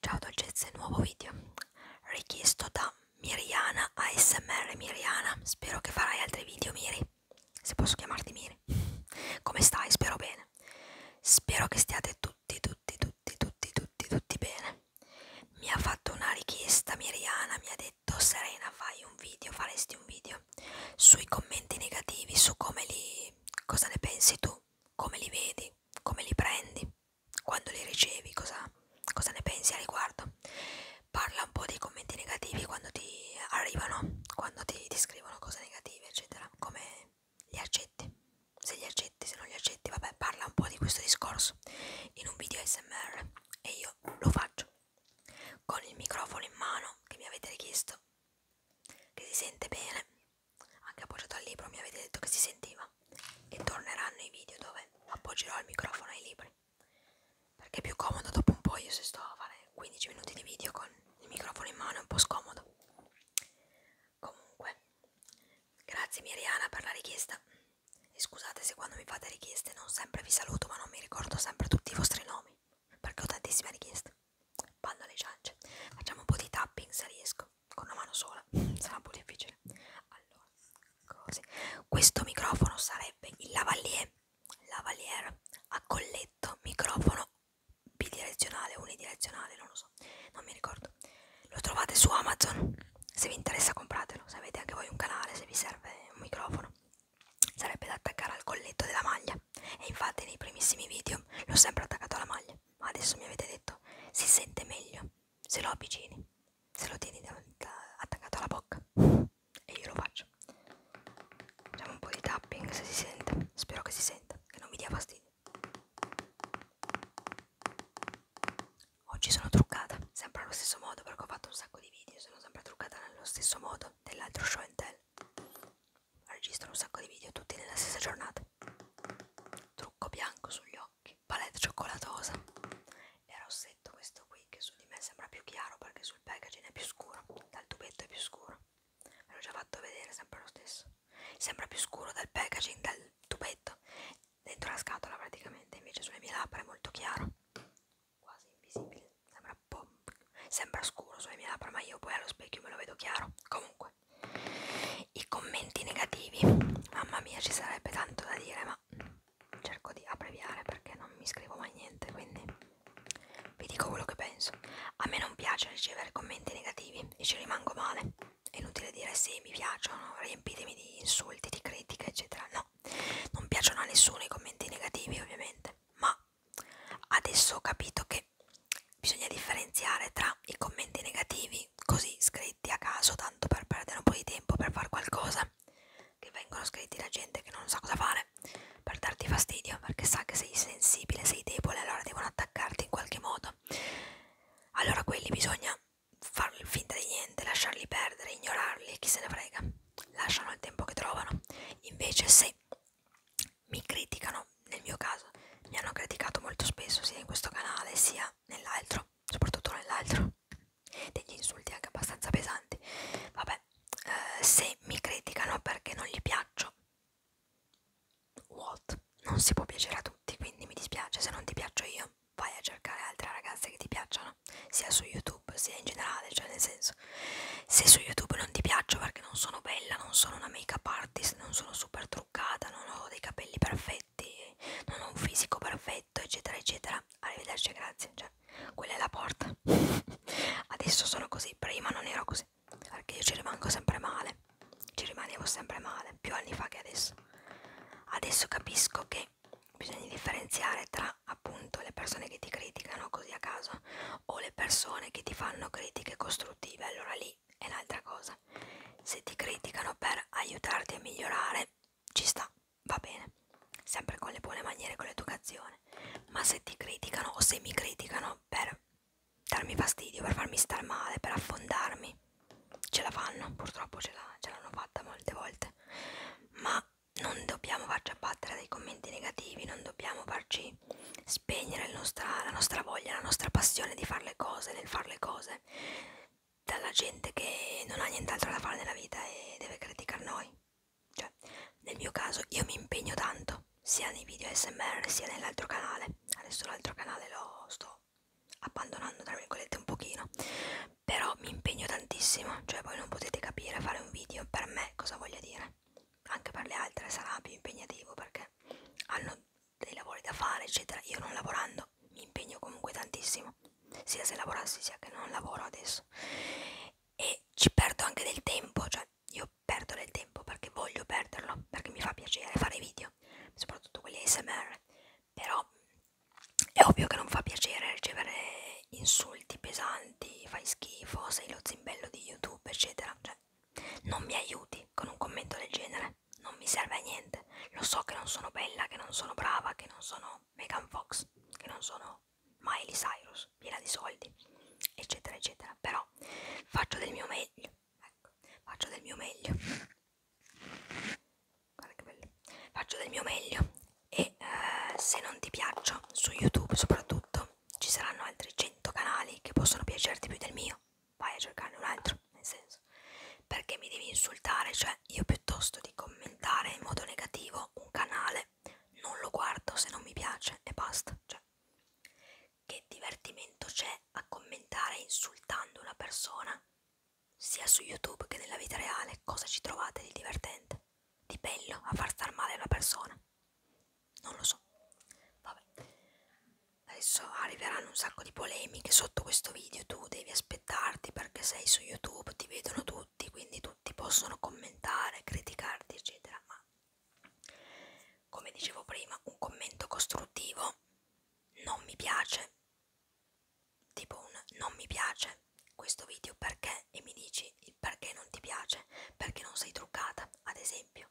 Ciao dolcezze, nuovo video richiesto da Miriana ASMR Miriana. Spero che farai altri video, Miri. Se posso chiamarti Miri. Come stai? Spero bene. Spero che stiate tutti, tutti, tutti, tutti, tutti, tutti bene. Mi ha fatto una richiesta Miriana, mi ha detto Serena, fai un video, faresti un video sui commenti negativi, su come li cosa ne pensi tu, come li vedi, come li prendi quando li ricevi cosa, cosa ne pensi a riguardo parla un po' dei commenti negativi quando ti arrivano quando ti, ti scrivono cose negative eccetera come li accetti se li accetti se non li accetti vabbè parla un po' di questo discorso in un video smr e io lo faccio con il microfono in mano che mi avete richiesto che si sente bene anche appoggiato al libro mi avete detto che si sentiva e torneranno i video dove appoggerò il microfono ai libri perché è più comodo dopo un po' io se sto a fare 15 minuti di video con il microfono in mano è un po' scomodo comunque grazie Miriana per la richiesta e scusate se quando mi fate richieste non sempre vi saluto ma non mi ricordo sempre tutti i vostri nomi perché ho tantissime richieste bando alle ciance facciamo un po' di tapping se riesco con una mano sola sarà un po' difficile allora così questo microfono sarebbe il lavalier lavalier a colletto microfono bidirezionale unidirezionale non lo so non mi ricordo lo trovate su amazon se vi interessa compratelo se avete anche voi un canale se vi serve un microfono sarebbe da attaccare al colletto della maglia e infatti nei primissimi video l'ho sempre attaccato alla maglia ma adesso mi avete detto si sente meglio se lo avvicini, se lo tieni davanti, attaccato alla bocca e io lo faccio. Facciamo un po' di tapping se si sente, spero che si senta, che non mi dia fastidio. Oggi oh, sono truccata, sempre allo stesso modo perché ho fatto un sacco di video, sono sempre truccata nello stesso modo dell'altro show and tell registro un sacco di video tutti nella stessa giornata trucco bianco sugli occhi palette cioccolatosa e rossetto questo qui che su di me sembra più chiaro perché sul packaging è più scuro dal tubetto è più scuro ve l'ho già fatto vedere sempre lo stesso sembra più scuro dal packaging dal tubetto dentro la scatola praticamente invece sulle mie labbra è molto chiaro quasi invisibile sembra, sembra scuro sulle mie labbra ma io poi allo specchio me lo vedo chiaro comunque comunque i commenti negativi mamma mia ci sarebbe tanto da dire ma cerco di abbreviare perché non mi scrivo mai niente quindi vi dico quello che penso a me non piace ricevere commenti negativi e ci rimango male è inutile dire sì mi piacciono riempitemi di insulti di critiche eccetera no non piacciono a nessuno i commenti negativi ovviamente ma adesso ho capito che bisogna differenziare tra i commenti negativi, così scritti a caso, tanto per perdere un po' di tempo per fare qualcosa, che vengono scritti da gente che non sa cosa fare, per darti fastidio, perché sa che sei sensibile, sei debole, allora devono attaccarti in qualche modo. Allora quelli bisogna far finta di niente, lasciarli perdere, ignorarli, chi se ne frega. Lasciano il tempo che trovano. Invece se mi criticano, nel mio caso, mi hanno criticato molto spesso sia in questo canale sia nell'altro, soprattutto nell'altro, degli insulti anche abbastanza pesanti. Vabbè, eh, se mi criticano perché non gli piaccio, what? Non si può piacere a tutti, quindi mi dispiace se non ti piaccio io. Vai a cercare altre ragazze che ti piacciono, sia su YouTube sia in generale, cioè nel senso, se su YouTube non ti piaccio perché perché non sono bella, non sono una make up artist, non sono super truccata, non ho dei capelli perfetti, non ho un fisico perfetto, eccetera, eccetera. Arrivederci, grazie. Cioè, quella è la porta. Adesso sono così, prima non ero così, perché io ci rimango sempre male. Ci rimanevo sempre male, più anni fa che adesso. Adesso capisco che bisogna differenziare tra appunto le persone che ti criticano così a caso o le persone che ti fanno critiche costruttive allora lì è un'altra cosa. Se ti criticano per aiutarti a migliorare, ci sta, va bene, sempre con le buone maniere, con l'educazione. Ma se ti criticano o se mi criticano per darmi fastidio, per farmi star male, per affondarmi, ce la fanno, purtroppo ce l'hanno fatta molte volte. Ma non dobbiamo farci abbattere dai commenti negativi, non dobbiamo farci spegnere nostra, la nostra voglia, la nostra passione di fare le cose, nel fare le cose, dalla gente che non ha nient'altro da fare nella vita e deve criticare noi. Cioè, nel mio caso io mi impegno tanto, sia nei video SMR sia nell'altro canale. Adesso l'altro canale lo sto abbandonando, tra virgolette, un pochino. Però mi impegno tantissimo, cioè voi non potete capire fare un video per me cosa voglia dire anche per le altre sarà più impegnativo perché hanno dei lavori da fare eccetera io non lavorando mi impegno comunque tantissimo sia se lavorassi sia che non lavoro adesso e ci perdo anche del tempo cioè io perdo del tempo perché voglio perderlo perché mi fa piacere fare video soprattutto quelli ASMR però è ovvio che non fa piacere ricevere insulti pesanti fai schifo sei lo zimbello di youtube eccetera cioè non mi aiuti con un commento del genere, non mi serve a niente. Lo so che non sono bella, che non sono brava, che non sono Megan Fox, che non sono Miley Cyrus, piena di soldi, eccetera, eccetera. Però faccio del mio meglio, ecco, faccio del mio meglio. Guarda che bello. Faccio del mio meglio e eh, se non ti piaccio su YouTube soprattutto ci saranno altri 100 canali che possono piacerti più del mio, vai a cercarne un altro, nel senso, perché mi devi insultare, cioè io piuttosto di commentare in modo negativo un canale, non lo guardo se non mi piace e basta, cioè, che divertimento c'è a commentare insultando una persona, sia su YouTube che nella vita reale, cosa ci trovate di divertente, di bello a far star male una persona? non lo so vabbè adesso arriveranno un sacco di polemiche sotto questo video tu devi aspettarti perché sei su youtube ti vedono tutti quindi tutti possono commentare criticarti eccetera ma come dicevo prima un commento costruttivo non mi piace tipo un non mi piace questo video perché e mi dici il perché non ti piace perché non sei truccata ad esempio,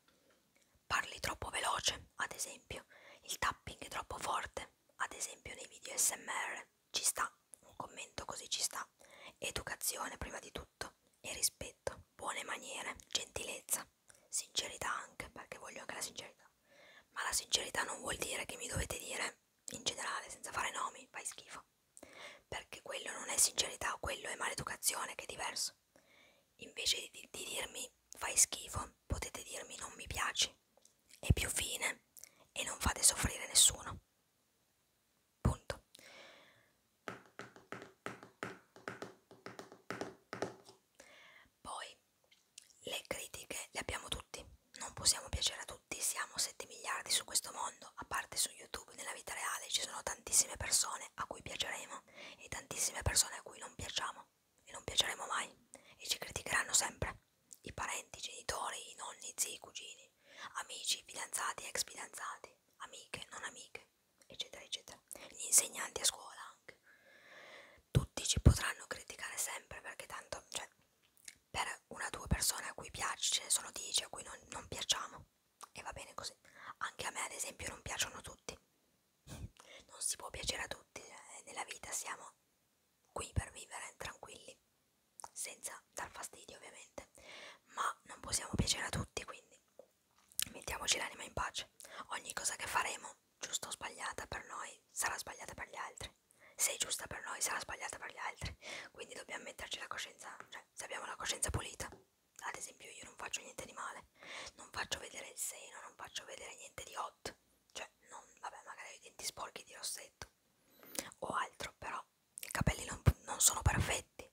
parli troppo veloce, ad esempio, il tapping è troppo forte, ad esempio nei video SMR, ci sta, un commento così ci sta, educazione prima di tutto e rispetto, buone maniere, gentilezza, sincerità anche, perché voglio anche la sincerità, ma la sincerità non vuol dire che mi dovete dire in generale senza fare nomi, fai schifo, perché quello non è sincerità, quello è maleducazione, che è diverso. Invece di, di dirmi fai schifo, potete dirmi non mi piaci, è più fine e non fate soffrire nessuno. Punto. Poi le critiche le abbiamo tutti, non possiamo piacere a tutti, siamo 7 miliardi su questo mondo, a parte su YouTube YouTube nella vita reale ci sono tantissime persone a cui piaceremo e tantissime persone a cui non piacciamo e non piaceremo mai e ci criticheranno sempre i parenti, i genitori, i nonni, i zii, i cugini, amici, fidanzati, ex fidanzati, amiche, non amiche, eccetera, eccetera, gli insegnanti a scuola anche. Tutti ci potranno criticare sempre perché tanto, cioè, per una o due persone a cui piace ce ne sono dieci a cui non, non piacciamo e va bene così. Anche a me, ad esempio, non piacciono tutti. Non si può piacere a tutti eh, nella vita, siamo qui per vivere tranquilli, senza dar fastidio ovviamente, ma non possiamo piacere a tutti, quindi mettiamoci l'anima in pace. Ogni cosa che faremo, giusta o sbagliata per noi, sarà sbagliata per gli altri. Se è giusta per noi, sarà sbagliata per gli altri. Quindi dobbiamo metterci la coscienza, cioè se abbiamo la coscienza pulita, ad esempio io non faccio niente di male, non faccio vedere il seno, non faccio vedere niente di hot, cioè non, vabbè magari ho i denti sporchi di rossetto o altro, però i capelli non, non sono perfetti,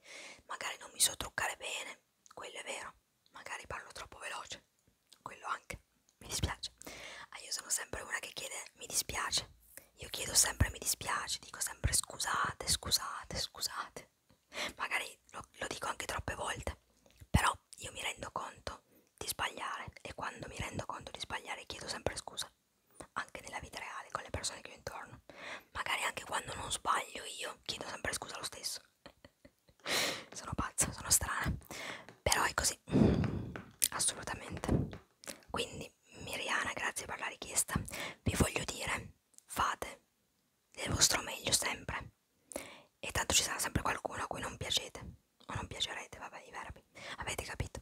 magari non mi so truccare bene, quello è vero, magari parlo troppo veloce, quello anche, mi dispiace, ah, io sono sempre una che chiede mi dispiace, io chiedo sempre, mi dispiace, dico sempre scusate, scusate, scusate. Magari lo, lo dico anche troppe volte, però io mi rendo conto di sbagliare e quando mi rendo conto di sbagliare chiedo sempre scusa, anche nella vita reale, con le persone che ho intorno. Magari anche quando non sbaglio io chiedo sempre scusa lo stesso. sono pazza, sono strana, però è così, assolutamente. Quindi Miriana, grazie per la richiesta. Vi voglio dire fate del vostro meglio sempre e tanto ci sarà sempre qualcuno a cui non piacete o non piacerete, vabbè i verbi, avete capito?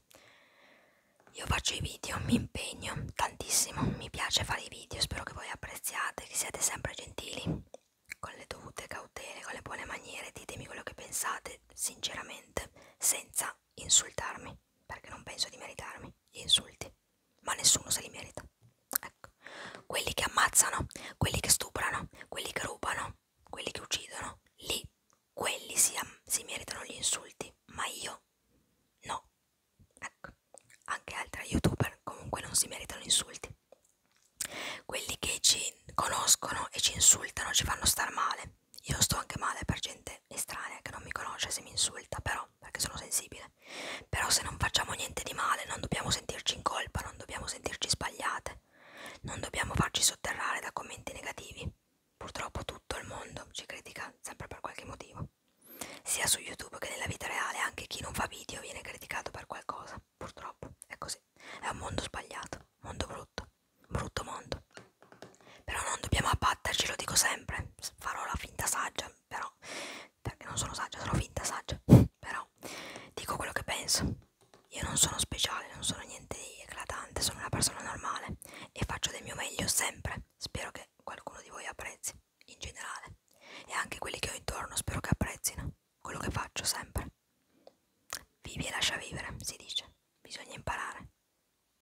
Io faccio i video, mi impegno tantissimo, mi piace fare i video, spero che voi apprezziate, che siate sempre gentili, con le dovute cautele, con le buone maniere, ditemi quello che pensate sinceramente, senza insultarmi, perché non penso di meritarmi gli insulti ma nessuno se li merita. Ecco, quelli che ammazzano, quelli che stuprano, quelli che rubano, quelli che uccidono, lì, quelli si, si meritano gli insulti, ma io no. Ecco, anche altri youtuber comunque non si meritano insulti. Quelli che ci conoscono e ci insultano, ci fanno star male, io sto anche male per gente estranea che non mi conosce se mi insulta però perché sono sensibile però se non facciamo niente di male non dobbiamo sentirci in colpa non dobbiamo sentirci sbagliate non dobbiamo farci sotterrare da commenti negativi purtroppo tutto il mondo ci critica sempre per qualche motivo sia su youtube che nella vita reale anche chi non fa video viene criticato per qualcosa purtroppo è così è un mondo sbagliato mondo brutto brutto mondo però non dobbiamo abbatterci, lo dico sempre. Farò la finta saggia, però. Perché non sono saggia, sono finta saggia. Però dico quello che penso. Io non sono speciale, non sono niente di eclatante, sono una persona normale e faccio del mio meglio sempre. Spero che qualcuno di voi apprezzi, in generale. E anche quelli che ho intorno spero che apprezzino quello che faccio sempre. Vivi e lascia vivere, si dice. Bisogna imparare.